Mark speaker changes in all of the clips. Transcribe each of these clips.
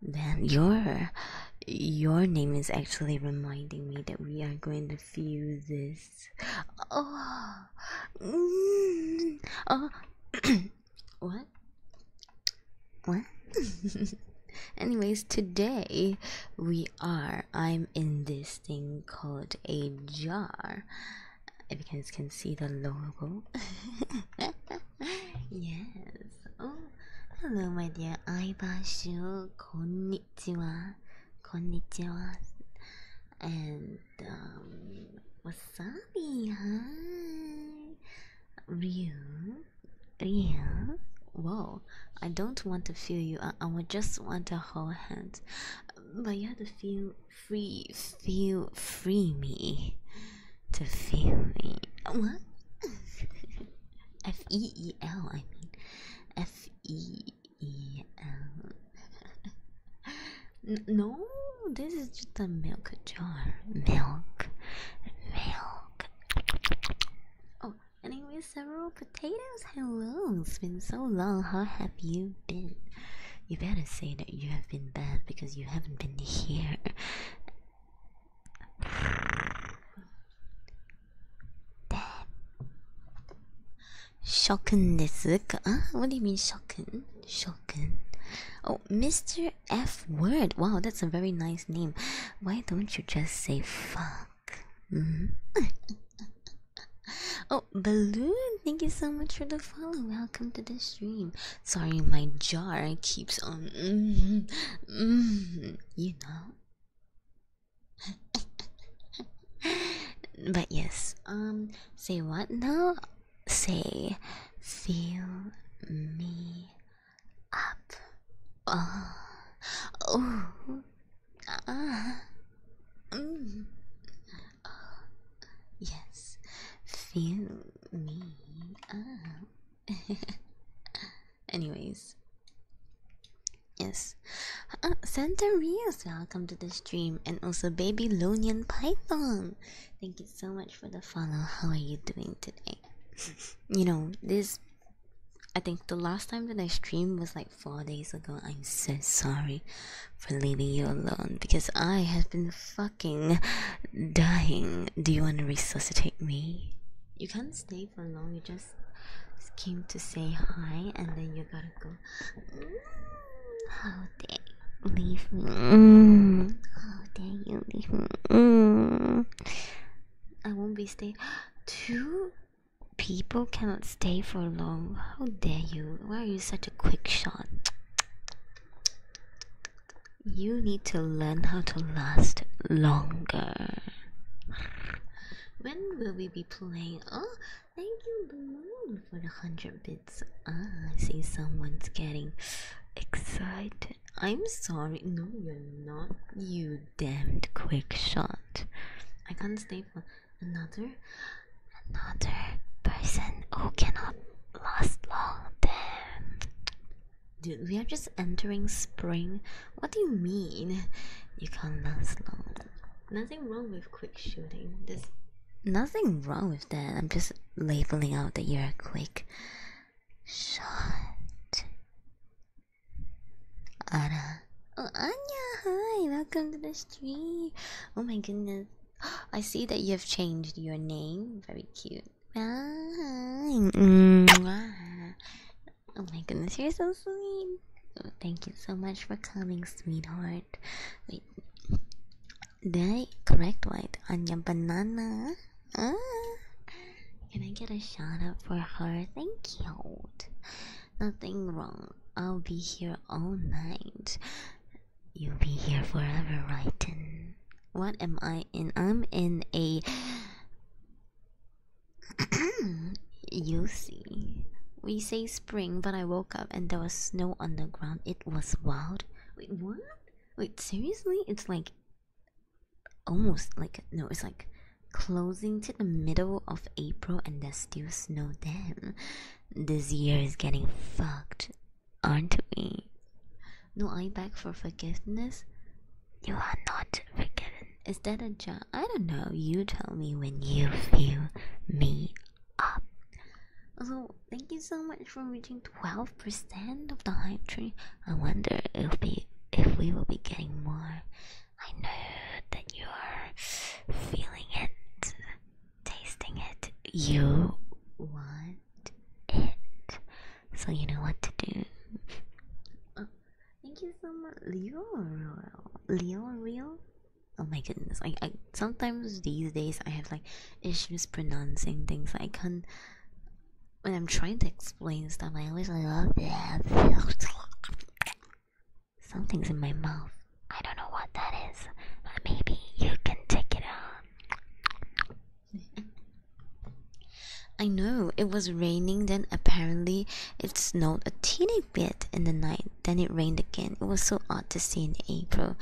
Speaker 1: Then your your name is actually reminding me that we are going to fuse this. Oh, mm. oh, what? What? Anyways, today we are. I'm in this thing called a jar. If you guys can see the logo. yes. Oh, hello, my dear. Aibashu. Konnichiwa. Konnichiwa. And, um, wasabi. Hi. Ryu. Ryu. Whoa. I don't want to feel you. I, I would just want to hold hands. But you have to feel free. Feel free me to feel me. What? F E E L, I mean. F E E L. no, this is just a milk jar. Milk. Milk. Oh, anyway, several potatoes. Hello, it's been so long. How have you been? You better say that you have been bad because you haven't been here. Shocken desu ka? What mean shocken? Shocken. Oh, Mr. F word. Wow, that's a very nice name. Why don't you just say fuck? Mm-hmm. oh, Balloon, thank you so much for the follow. Welcome to the stream. Sorry, my jar keeps on. Mm, mm you know. but yes, um, say what now? Say, feel me up. Oh, oh,
Speaker 2: ah, mm.
Speaker 1: Uh, yes, feel me up. Anyways, yes. Uh, Santa Rios, welcome to the stream, and also Babylonian Python. Thank you so much for the follow. How are you doing today? you know this. I think the last time that I streamed was like four days ago. I'm so sorry for leaving you alone because I have been fucking dying. Do you want to resuscitate me? you can't stay for long. You just came to say hi, and then you gotta go. Mm, how oh, dare leave me? Mm, how oh, dare you leave me? Mm. I won't be staying. Two people cannot stay for long. How dare you? Why are you such a quick shot? You need to learn how to last longer. When will we be playing? Oh, thank you, Balloon, for the 100 bits. Ah, I see someone's getting excited. I'm sorry. No, you're not. You damned quick shot. I can't stay for another, another person who cannot last long. Damn. Dude, we are just entering spring. What do you mean? You can't last long. Nothing wrong with quick shooting. There's nothing wrong with that. I'm just labeling out that you're quick shot. Ara. Oh, Anya, hi. Welcome to the stream. Oh my goodness. I see that you have changed your name. Very cute. Mm-hmm. Oh my goodness, you're so sweet. Oh, thank you so much for coming, sweetheart. Wait, did correct white on your banana? Ah. Can I get a shot up for her? Thank you. Nothing wrong. I'll be here all night. You'll be here forever, Ryton. What am I in? I'm in a you see. We say spring, but I woke up and there was snow on the ground. It was wild. Wait, what? Wait, seriously? It's like almost like no, it's like closing to the middle of April and there's still snow. Damn, this year is getting fucked, aren't we? No, I beg for forgiveness. You are not forgiven. Is that a job? I don't know. You tell me when you feel me up. Also, thank you so much for reaching 12% of the hype tree. I wonder if we, if we will be getting more. I know that you are feeling it, tasting it. You want it so you know what to do. Oh, thank you so much, Leo. Leo, real. Oh my goodness! I, I sometimes these days I have like issues pronouncing things. I can't. When I'm trying to explain stuff, I always like, oh yeah, Something's in my mouth. I don't know what that is, but maybe you can take it out. I know it was raining then apparently it snowed a teeny bit in the night then it rained again it was so odd to see in April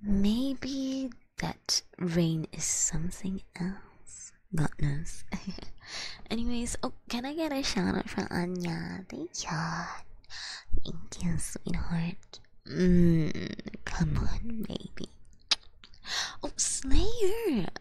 Speaker 1: maybe that rain is something else God knows anyways oh can I get a shout out from Anya thank you thank you sweetheart Hmm. come on baby oh Slayer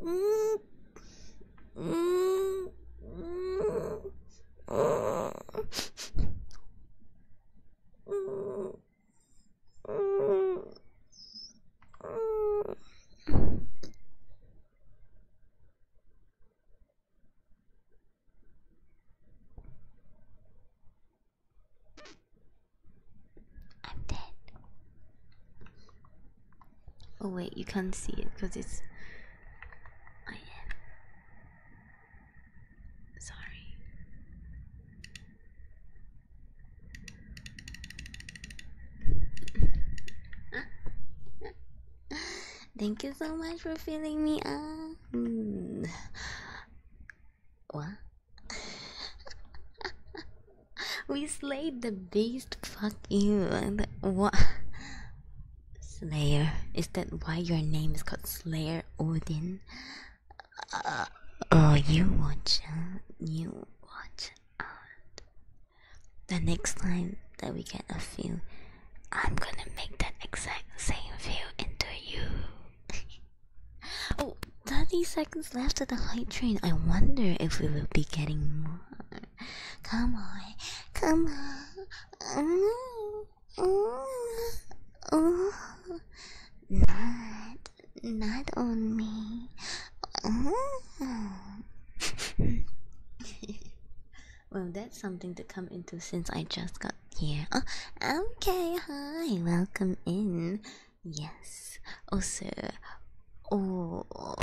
Speaker 1: I'm dead. Oh wait, you can't see it because it's. I am. Sorry. Thank you so much for filling me up. What? we slayed the based? Fuck you. What? Slayer. Is that why your name is called Slayer Odin? Uh, oh, you watch out. You watch out. The next time that we get a feel, I'm gonna make that exact same feel into you. oh, 30 seconds left of the hype train. I wonder if we will be getting more. Come on, come on. Not, not on me. well, that's something to come into since I just got here. Oh, okay, hi, welcome in. Yes. Also, oh, oh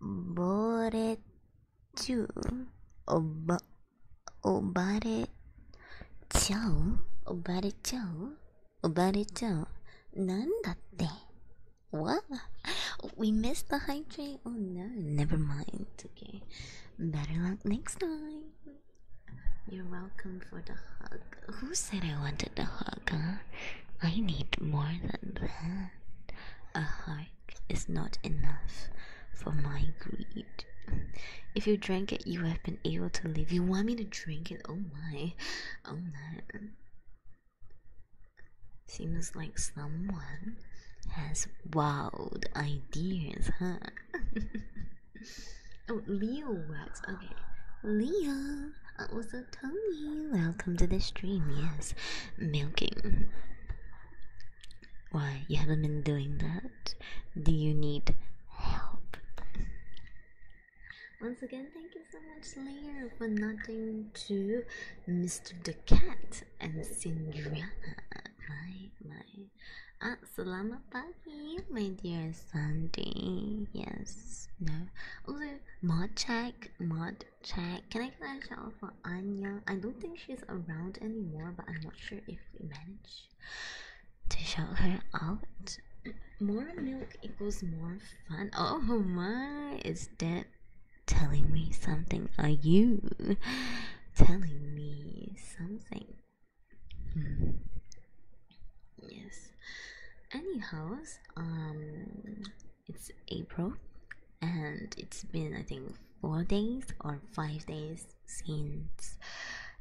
Speaker 1: bored Ju oba obare chao obare chao obare chao nandatte. What? we missed the high train. Oh no, never mind. Okay, better luck next time. You're welcome for the hug. Who said I wanted a hug, huh? I need more than that. A hug drank is not enough for my greed. If you drank it, you have been able to live. You want me to drink it? Oh my. Oh man! Seems like someone has wild ideas, huh? oh, Leo works. Okay. Leo, I was so Tony. Welcome to the stream. Yes, milking. Why, you haven't been doing that? Do you need help? Once again, thank you so much, Leah, for nodding to Mr. the Cat and Cinderella. My, my. Ah, my dear Sandy. Yes, no. Also, mod check, mod check. Can I get a shout out for Anya? I don't think she's around anymore, but I'm not sure if we manage to shout her out. More milk equals more fun. Oh my, is that telling me something? Are you telling me something? Hmm. Yes. Anyhow, um, it's April and it's been I think four days or five days since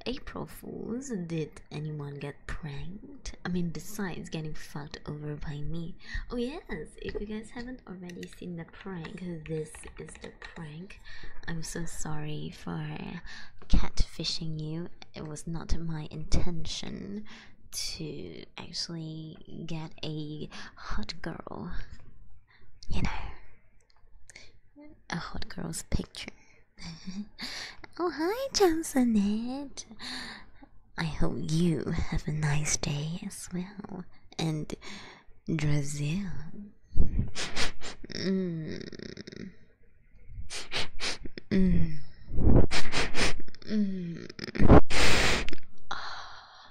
Speaker 1: April Fools. Did anyone get pranked? I mean, besides getting fucked over by me. Oh yes! If you guys haven't already seen the prank, this is the prank. I'm so sorry for catfishing you. It was not my intention to actually get a hot girl, you know, a hot girl's picture. oh, hi, Johnsonette. I hope you have a nice day as well. And Brazil. mm.
Speaker 2: Mm. Mm. Oh,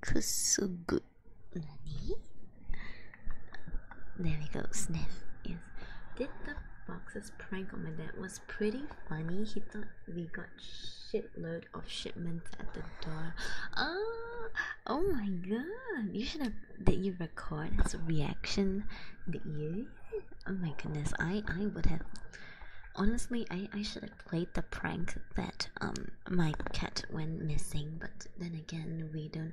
Speaker 1: くすぐ何 There we go, sniff. Yes. Did the boxes prank on my dad was pretty funny. He thought we got shitload of shipments at the door. Oh, oh my god. You should have did you record his reaction? Did you? Oh my goodness. I I would have honestly I I should have played the prank that um my cat went missing, but then again we don't.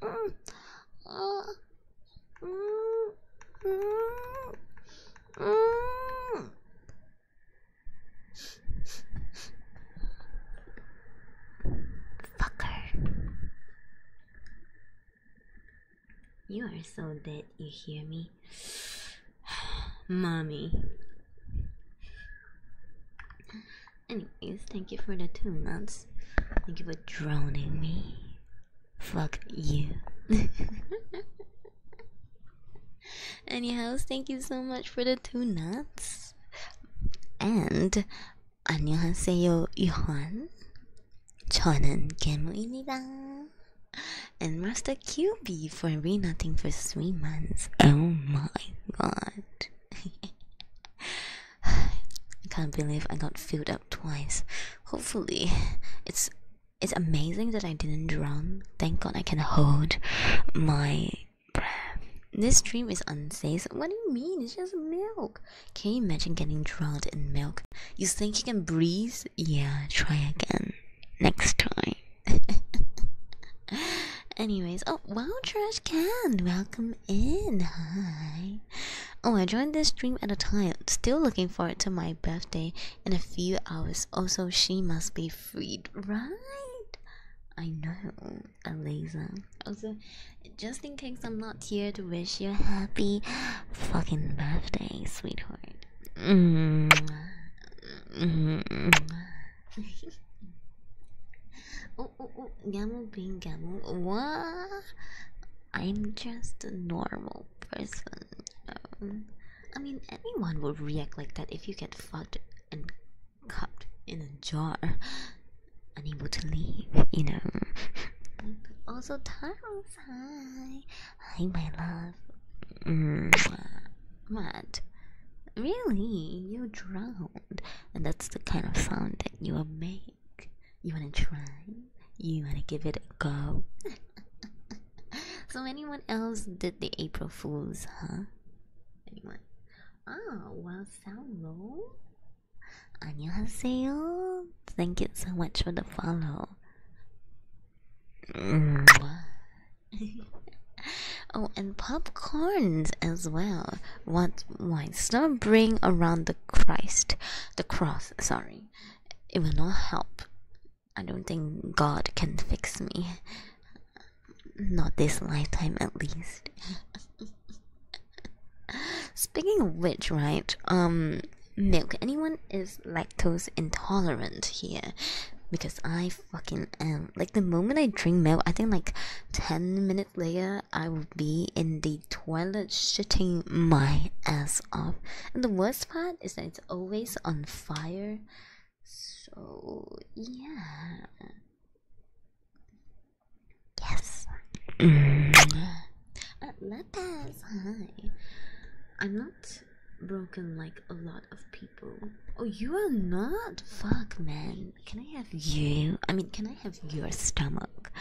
Speaker 2: Fucker.
Speaker 1: You are so dead, you hear me? Mommy. Anyways, thank you for the two nuts. Thank you for droning me. Fuck you. Anyhow, thank you so much for the two nuts. And 안녕하세요, Yuhan. 저는 개무입니다. And Master QB for re nothing for three months. Oh my god. I can't believe I got filled up twice. Hopefully, it's it's amazing that I didn't drown. Thank God I can hold my breath. This stream is unsafe. What do you mean? It's just milk. Can you imagine getting drowned in milk? You think you can breathe? Yeah, try again next time. Anyways, oh wow, trash can. Welcome in. Hi. Oh, I joined this stream at a time. Still looking forward to my birthday in a few hours. Also, she must be freed, right? I know, Aliza. Also, just in case I'm not here to wish you a happy fucking birthday, sweetheart. Mm -hmm. oh, oh, oh. Gamu being I'm just a normal person. I mean, anyone would react like that if you get fucked and cupped in a jar, unable to leave, you know. also, Taros, hi. Hi, my love. Mm. What? Really? You drowned. And that's the kind of sound that you are made. You wanna try? You wanna give it a go? so anyone else did the April Fools, huh? Anyone? Ah, well, hello. 안녕하세요. Thank you so much for the follow. oh, and popcorns as well. What wine? not bring around the Christ the cross, sorry. It will not help. I don't think God can fix me. Not this lifetime, at least. Speaking of which, right? Um, milk. Anyone is lactose intolerant here? Because I fucking am. Like the moment I drink milk, I think like ten minutes later, I will be in the toilet shitting my ass off. And the worst part is that it's always on fire. So, yeah.
Speaker 2: Yes. Mm.
Speaker 1: uh, hi. I'm not broken like a lot of people. Oh, you are not? Fuck, man. Can I have you? I mean, can I have your stomach?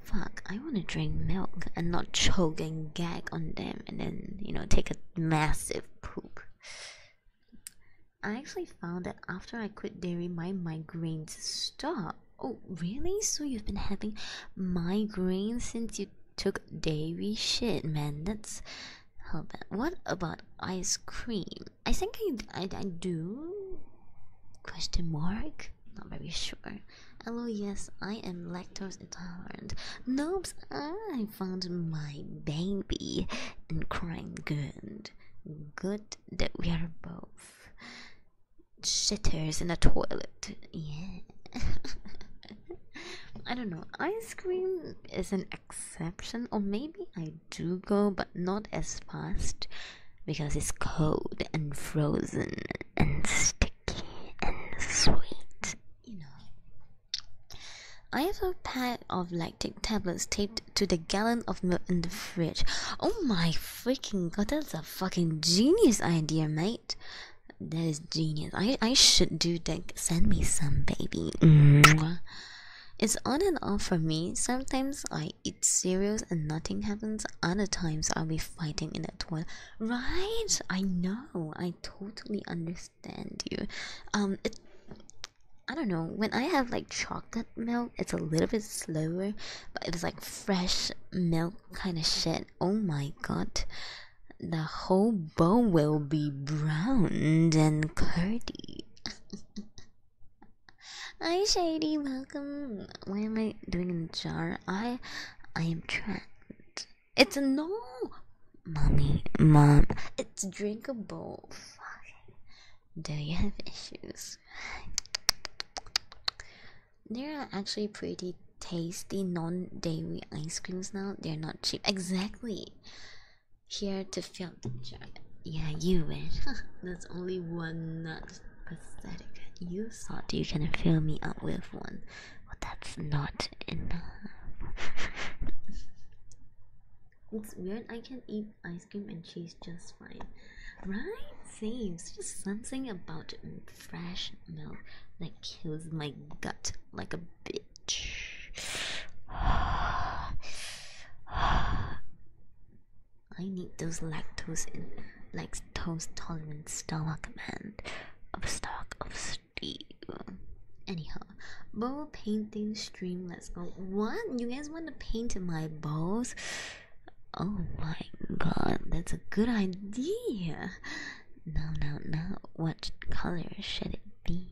Speaker 1: Fuck, I want to drink milk and not choke and gag on them and then, you know, take a massive poop. I actually found that after I quit dairy, my migraines stopped. Oh, really? So you've been having migraines since you took dairy? Shit, man, that's. Hold What about ice cream? I think I, I do. Question mark. Not very sure. Hello, yes, I am lactose intolerant. Noobs, I found my baby and crying good. Good that we are both shitters in a toilet. Yeah. I don't know. Ice cream is an exception, or maybe I do go, but not as fast because it's cold and frozen and sticky and sweet, you know. I have a pack of lactic tablets taped to the gallon of milk in the fridge. Oh my freaking god, that's a fucking genius idea, mate. That is genius. I, I should do that. Send me some, baby. It's on and off for me. Sometimes I it's serious and nothing happens. Other times I'll be fighting in that toilet. Right? I know. I totally understand you. Um, it. I don't know. When I have like chocolate milk, it's a little bit slower, but it's like fresh milk kind of shit. Oh my god. The whole bowl will be browned and curdy. I Shady Bun. What am I doing in the jar? I, I am trapped. It's a no, mommy, mom. It's drinkable. Do you have issues? they are actually pretty tasty non-dairy ice creams now. They're not cheap. Exactly. Here to fill the jar. Yeah, you win. That's only one nut pathetic. You thought you can fill me up with one. but that's not enough. it's weird. I can eat ice cream and cheese just fine. Right? Same. just something about fresh milk that kills my gut like a bitch. I need those lactose in lactose tolerant stomach man of stock of steel. Anyhow, bowl painting stream. Let's go. What you guys want to paint my balls? Oh my god, that's a good idea. No, no, no. What color should it be?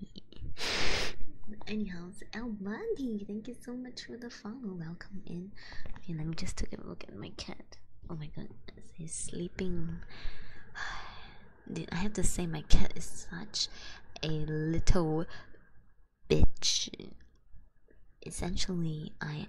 Speaker 1: Anyhow, El Bundy. Thank you so much for the the Welcome in. Okay, let me just take a look at my cat. Oh my god, he's sleeping. I have to say, my cat is such a little bitch. Essentially, I.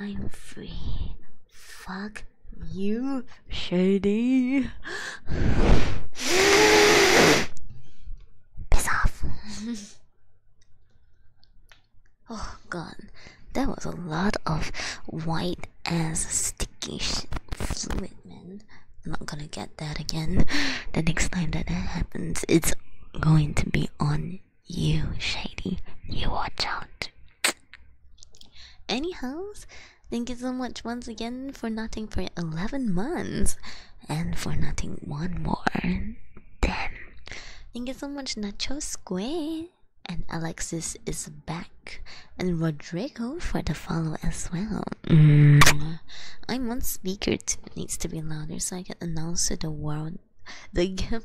Speaker 2: I'm free.
Speaker 1: Fuck you,
Speaker 2: Shady.
Speaker 1: Piss off. oh god, that was a lot of white and sticky fluid, man. I'm not gonna get that again. The next time that, that happens, it's going to be on you, Shady. You watch out. Anyhows, Thank you so much once again for nothing for 11 months and for nothing one more. Damn. Thank you so much, Nacho Square. And Alexis is back. And Rodrigo for the follow as well. Mm. I'm on speaker too. It needs to be louder so I can announce to the world the game.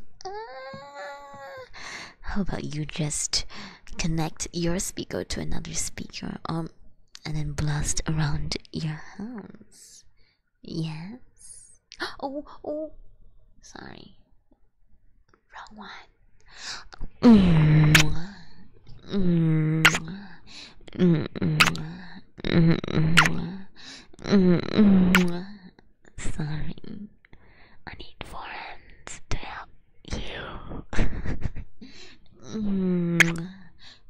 Speaker 1: How about you just connect your speaker to another speaker um, and then blast around your house? Yes. Oh, oh, sorry.
Speaker 2: Wrong one. Mm -hmm. Mm -hmm. Mm -hmm. Mm -hmm. Sorry, I need four hands to help you. mm -hmm.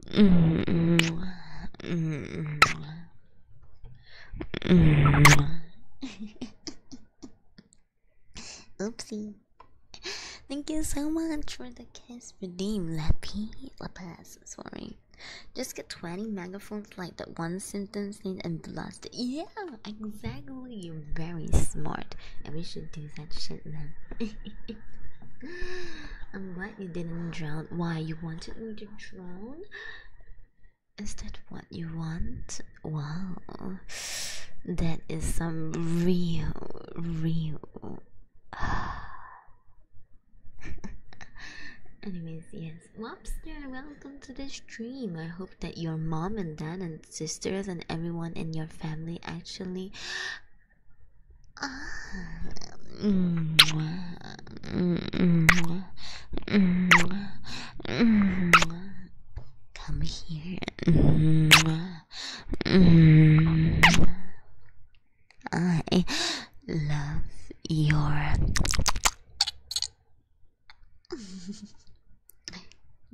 Speaker 2: -hmm. -hmm.
Speaker 1: Oopsie. Thank you so much for the kiss redeem, Lappy. Lapas, sorry. Just get 20 megaphones like that one sentence needs and blast it. Yeah, exactly. You're very smart, and we should do that shit, man. I'm glad you didn't drown. Why you wanted me to drown? Is that what you want? Wow, that is some real, real. Anyways, yes, Lobster, welcome to the stream. I hope that your mom and dad and sisters and everyone in your family actually
Speaker 2: come here
Speaker 1: I love your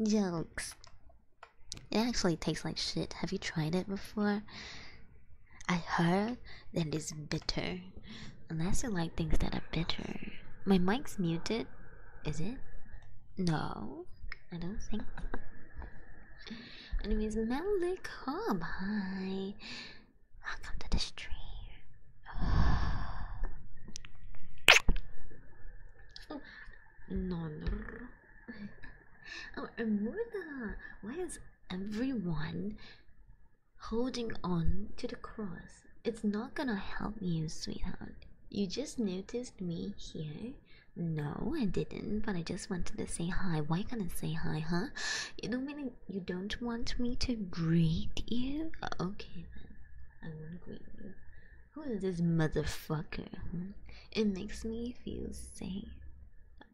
Speaker 1: Jokes. It actually tastes like shit. Have you tried it before? I heard that it is bitter. Unless you like things that are bitter. My mic's muted. Is it? No, I don't think. So. Anyways, Malik hi. Welcome to the stream. Oh, no, oh, Amurda, why is everyone holding on to the cross? It's not gonna help you, sweetheart. You just noticed me here. No, I didn't, but I just wanted to say hi. Why can't I say hi, huh? You don't mean you don't want me to greet you? Oh, okay then. I won't greet you. Who is this motherfucker? It makes me feel safe.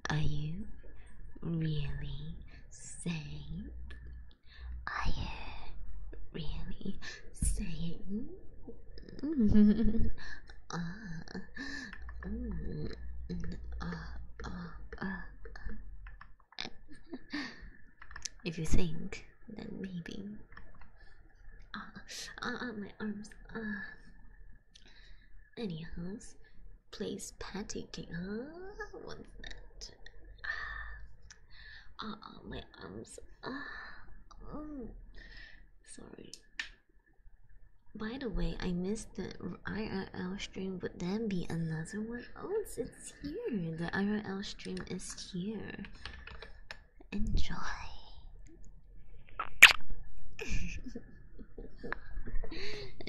Speaker 1: Are you really safe? Are you really safe? Uh, uh, uh, if you think, then maybe uh, uh, uh, my arms. Uh. Anyhow, please patty cake. one minute. that? Uh, uh, my arms. Uh, oh, sorry. By the way, I missed the IRL stream. Would that be another one? Oh, it's, it's here. The IRL stream is here. Enjoy. My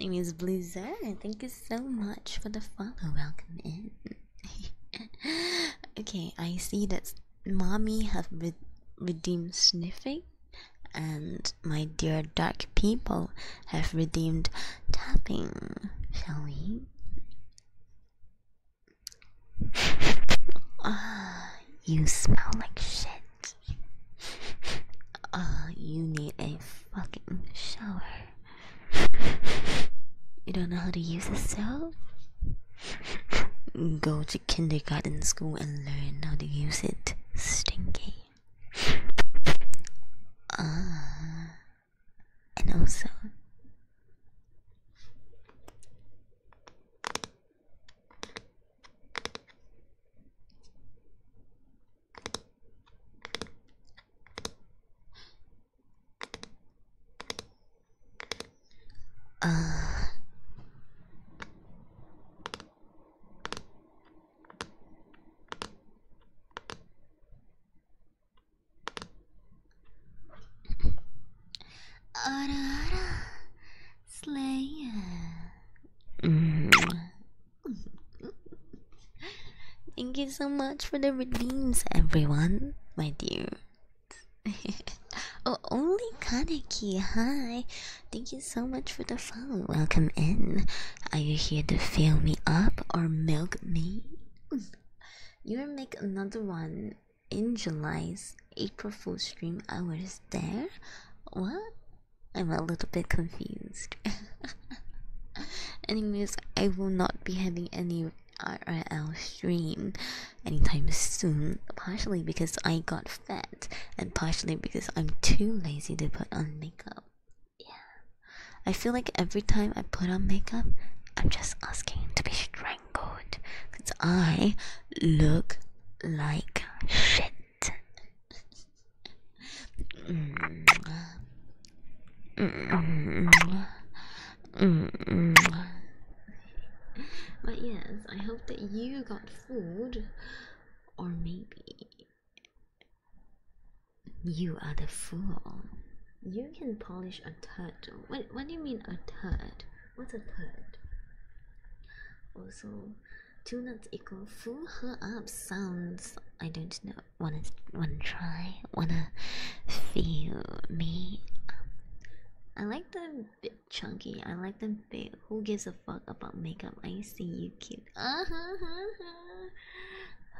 Speaker 1: name is Blizzard. Thank you so much for the follow. Welcome in. okay, I see that mommy have redeemed sniffing, and my dear dark people have redeemed tapping. Shall we? Ah, you smell like shit. Ah, you need a fucking shower. You don't know how to use a soap? Go to kindergarten school and learn how to use it. Stinky. Ah, and also. ああらあら Slayer. Thank you so much for the redeems, everyone, my dear. oh, only Kaneki, hi. Thank you so much for the follow. Welcome in. Are you here to fill me up or milk me? you will make another one in July's April Fool's stream, I was there. What? I'm a little bit confused. Anyways, I will not be having any RRL stream anytime soon, partially because I got fat and partially because I'm too lazy to put on makeup. Yeah. I feel like every time I put on makeup, I'm just asking to be strangled my because I look like shit. But yes, I hope that you got food, or maybe you are the fool. You can polish a turtle. What, what do you mean a turd? What a third. Also, oh, two not equal fool her up sounds. I don't know. Wanna wanna try? Wanna feel me? I like them bit chunky. I like them bit. Who gives a fuck about makeup? I see you cute.
Speaker 2: Uh -huh -huh.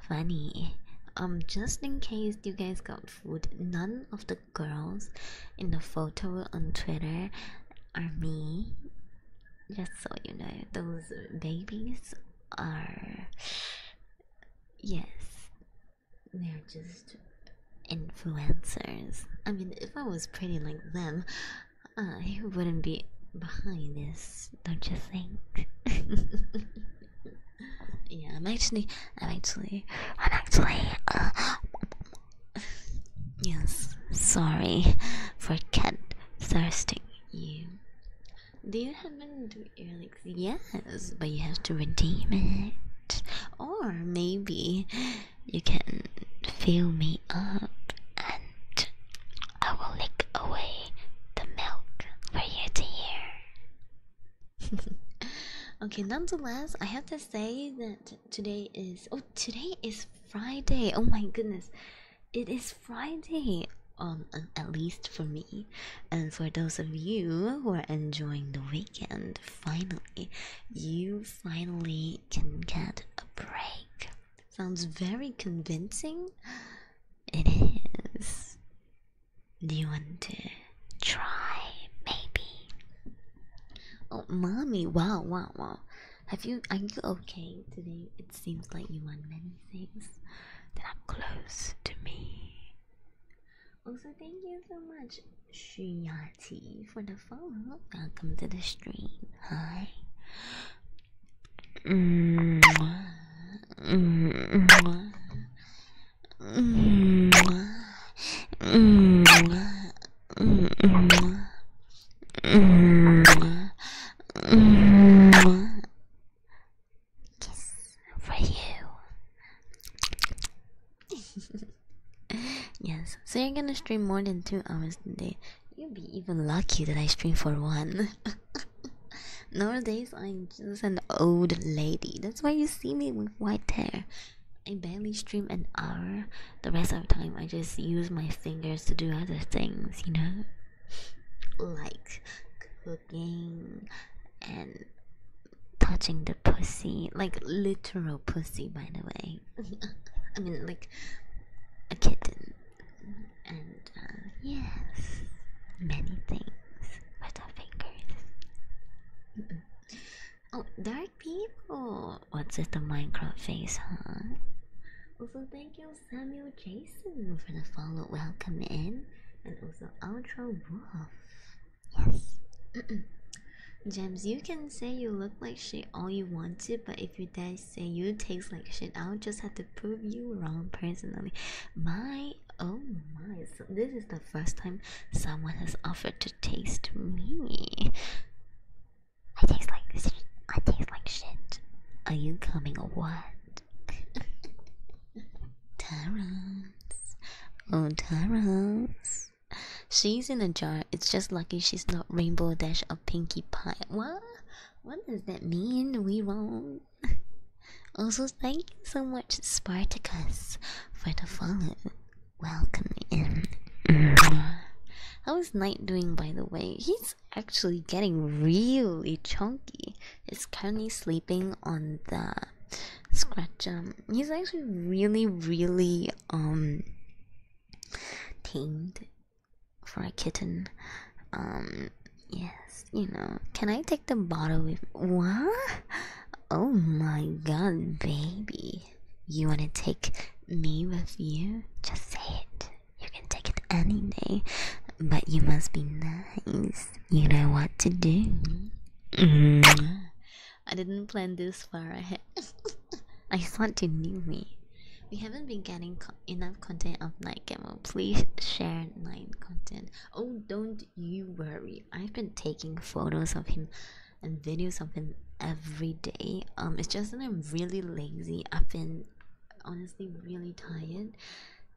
Speaker 1: Funny. Um, just in case you guys got food, none of the girls in the photo on Twitter are me. Just so you know, those babies are. Yes, they're just influencers. I mean, if I was pretty like them, I wouldn't be behind this, don't you think? yeah, I'm actually, I'm actually, I'm actually, uh, yes, sorry for cat thirsting you. Do you happen to Elix? Yes, but you have to redeem it. Or maybe you can fill me up and I will lick away the milk for you to hear. okay, nonetheless, I have to say that today is oh today is Friday. Oh my goodness. It is Friday um at least for me. And for those of you who are enjoying the weekend, finally you finally can get a break. Sounds very convincing. It is. Do you want to try maybe? Oh, mommy! Wow, wow, wow! Have you? Are you okay today? It seems like you want many things that are close to me. Also, thank you so much, Shuyati, for the follow. Welcome to the stream. Hi.
Speaker 2: Kiss for you.
Speaker 1: yes, so you're gonna stream more than two hours today. you would be even lucky that I stream for one. Nowadays, I'm just an old lady. That's why you see me with white hair. I barely stream an hour. The rest of the time, I just use my fingers to do other things, you know, like cooking and touching the pussy, like literal pussy, by the way. I mean, like a kitten, and uh, yes, many things with our fingers. Oh, there people. What's with the Minecraft face, huh? Also, thank you, Samuel Jason, for the follow. Welcome in, and also Ultra Wolf. Yes. James, you can say you look like shit all you want to, but if you dare say you taste like shit, I'll just have to prove you wrong personally. My oh my, this is the first time someone has offered to taste me. I taste like shit. I taste like shit. Are you coming or what? Taros. Oh, Taros. She's in a jar. It's just lucky she's not Rainbow Dash or Pinkie Pie. What? What does that mean? We won't. Also, thank you so much, Spartacus, for the follow. Welcome in. How is Knight doing, by the way? He's actually getting really chunky. He's currently sleeping on the scratch. Um, he's actually really, really um tamed for a kitten. Um, yes, you know. Can I take the bottle with what? Oh my god, baby. You want to take me with you? Just say it. You can take it any day, but you must be nice. You know what to do. I didn't plan this far ahead. I thought you knew me. We haven't been getting enough content of Night Camo. Please share Night content. Oh, don't you worry. I've been taking photos of him and video something every day. Um, it's just that I'm really lazy. I've been honestly really tired.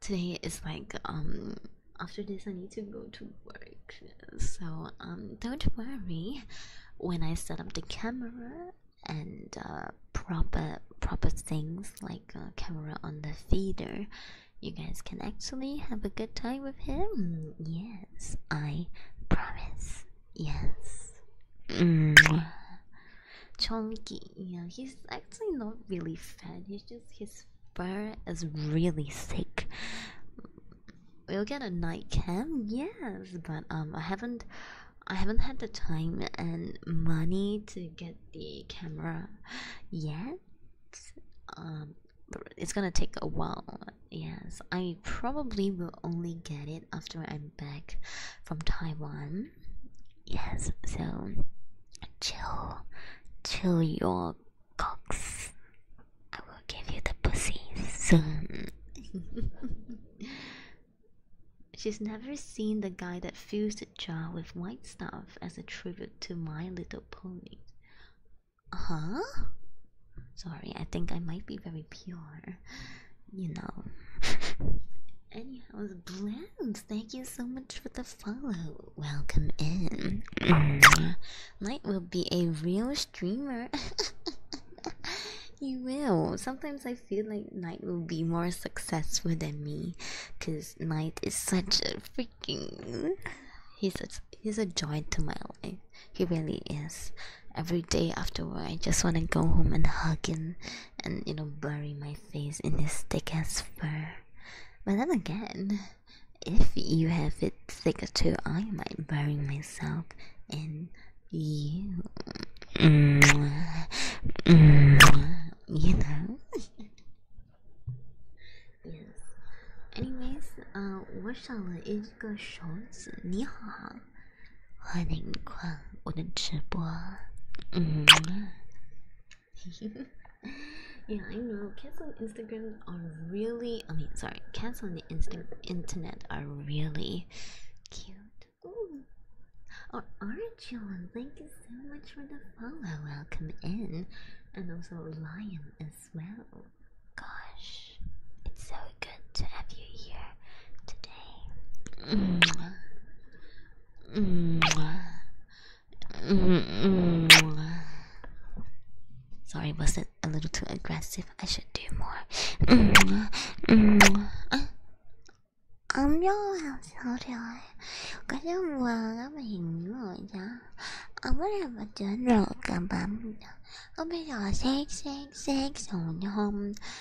Speaker 1: Today is like um after this I need to go to work. So um don't worry when I set up the camera and uh, proper proper things like camera on the feeder you guys can actually have a good time with him yes i promise Yes. Mm. Chunky, yeah, he's actually not really fat. He's just his fur is really thick. We'll get a night cam, yes, but um, I haven't, I haven't had the time and money to get the camera yet. Um, it's gonna take a while. Yes, I probably will only get it after I'm back from Taiwan. Yes, so chill, chill your cocks. I will give you the pussy soon. She's never seen the guy that fills the jar with white stuff as a tribute to My Little Pony. Huh? Sorry, I think I might be very pure you know. Anyhow, Blabs, thank you so much for the follow. Welcome in. Night mm. will be a real streamer. you will. Sometimes I feel like Night will be more successful than me, cause Night is such a freaking. He's a, he's a joy to my life. He really is every day after work i just want to go home and hug him and you know bury my face in his thick ass fur but then again if you have it thicker too i might bury myself in you mm.
Speaker 2: you know
Speaker 1: yes anyways uh 我上了一个手指，你好。欢迎逛我的直播。嗯，yeah, I know. Cats on Instagram are really, I mean, sorry, cats on the instant internet are really cute. Ooh. Or Orange One, thank you so much for the follow. Welcome in. And also Lion as well. Gosh, it's so good to
Speaker 2: have you here today.
Speaker 1: -hmm. -hmm. -hmm. Sorry, was it a little too aggressive? I should do more. Mm -hmm. Mm -hmm. 아, 안녕하세요. 그냥 뭐라고 힘들어요. 아무래도 저는 감사합니다. 그래서 섹섹섹 소년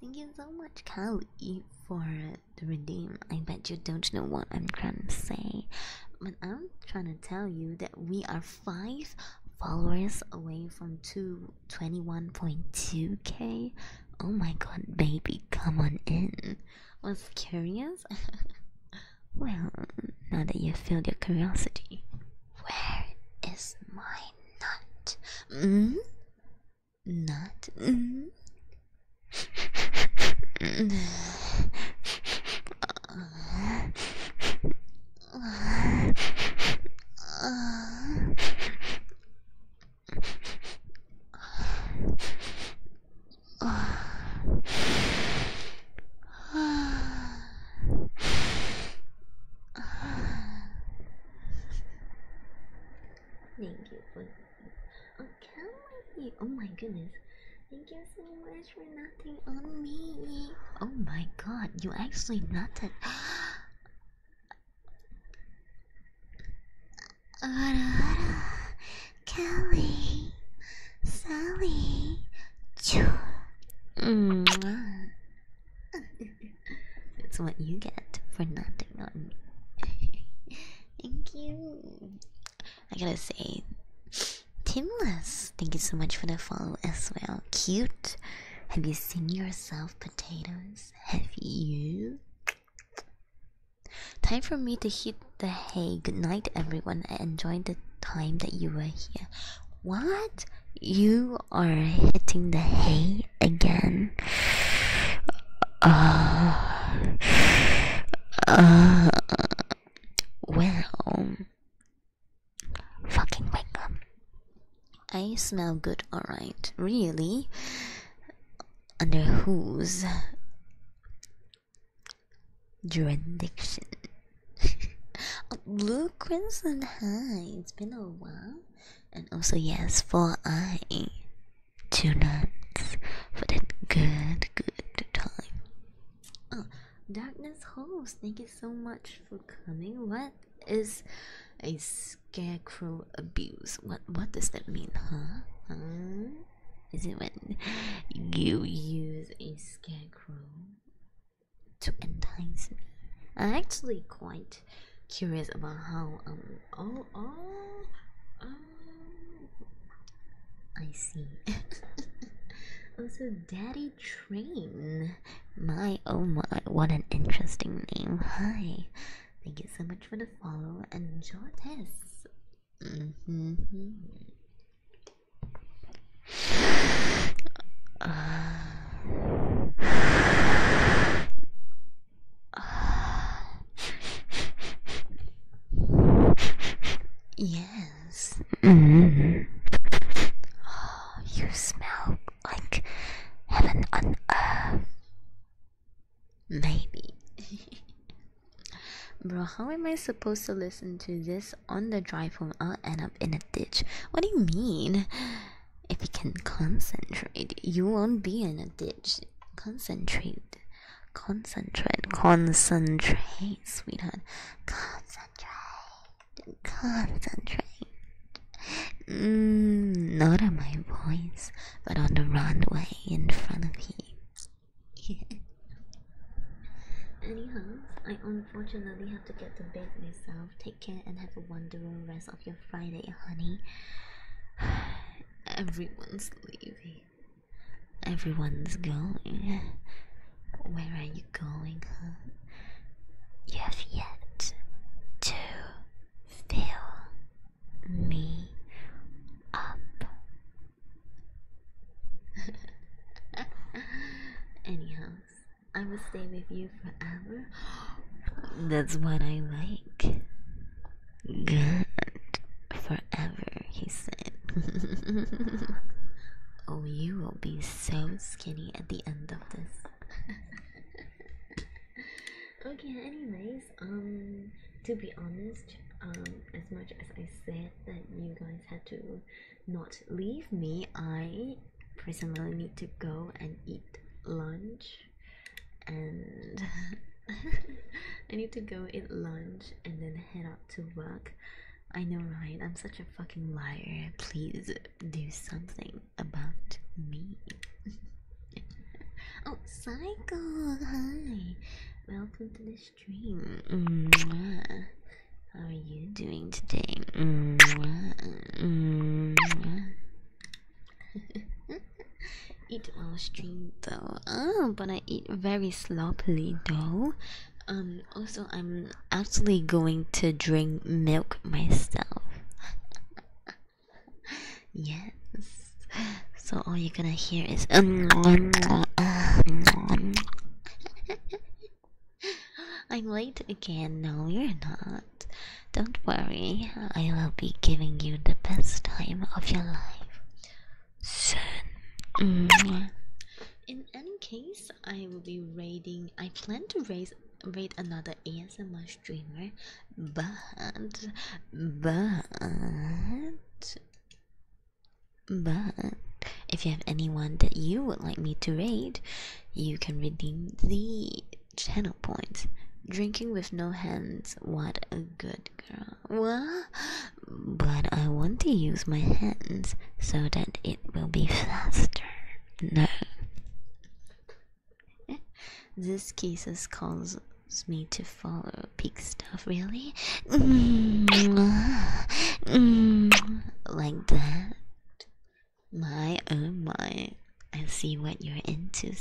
Speaker 1: Thank you so much, Kylie, for the redeem. I bet you don't know what I'm trying to say, but I'm trying to tell you that we are five followers away from two twenty-one point two k. Oh my god, baby, come on in. Was curious? well, now that you have filled your curiosity, where is my nut? Mm? Not. Mm -hmm. uh,
Speaker 2: uh, uh.
Speaker 1: Thank you for oh, Kelly. Oh my goodness. Thank you so much for nothing on me. Oh my god, you actually nutted.
Speaker 2: Kelly, Sally,
Speaker 1: Choo. Mm. It's what you get for not doing nothing. thank you. I gotta say, Timless, thank you so much for the follow as well. Cute. Have you seen yourself, potatoes? Have you? Time for me to hit the hay. Good night, everyone. I enjoyed the time that you were here. What? You you are hitting the hay again. Uh,
Speaker 2: uh, well, fucking
Speaker 1: wake up. I smell good, alright. Really? Under whose jurisdiction? Blue Crimson High, it's been a while and also yes for I two nights for that good good time. Oh, darkness host, thank you so much for coming. What is a scarecrow abuse? What what does that mean, huh? Huh? Is it when you use a scarecrow to entice me? actually quite curious about how um oh oh um, I see. Oh, so Daddy Train. My oh my, what an interesting name. Hi. Thank you so much for the follow and enjoy this.
Speaker 2: yes. Mm. Oh, you smell like heaven on
Speaker 1: earth. Maybe. Bro, how am I supposed to listen to this on the drive home? I'll end up in a ditch. What do you mean? if you can concentrate, you won't be in a ditch. Concentrate, concentrate, concentrate, sweetheart. Concentrate, concentrate. Mm, not on my voice, but on the runway in front of you. Anyhow, I unfortunately have to get to bed myself. Take care and have a wonderful rest of your Friday, honey. Everyone's leaving. Everyone's going. Where are you going, huh? You have yet to fill me up. Anyhow, I will stay with you forever. That's what I like good forever, he said. oh, you will be so skinny at the end of this. okay, anyways, um, to be honest, um, as much as I said that you guys had to not leave me, I personally need to go and eat lunch and I need to go eat lunch and then head out to work. I know, right? I'm such a fucking liar. Please do something about me. oh, Psycho! Hi! Welcome to the stream. How are you doing today? eat while stream though. Oh, but I eat very sloppily though. Um. Also, I'm actually going to drink milk myself. yes. So all you're gonna hear is um, I'm late again. No, you're not. Don't worry, I will be giving you the best time of your life soon. In any case, I will be raiding. I plan to raise raid another ASMR streamer, but but but if you have anyone that you would like me to raid, you can redeem the channel points. Drinking with no hands, what a good girl. What? But I want to use my hands so that it will be faster. No. this kisses calls me to follow peak stuff, really? like that? My oh my.
Speaker 2: I see what you're into,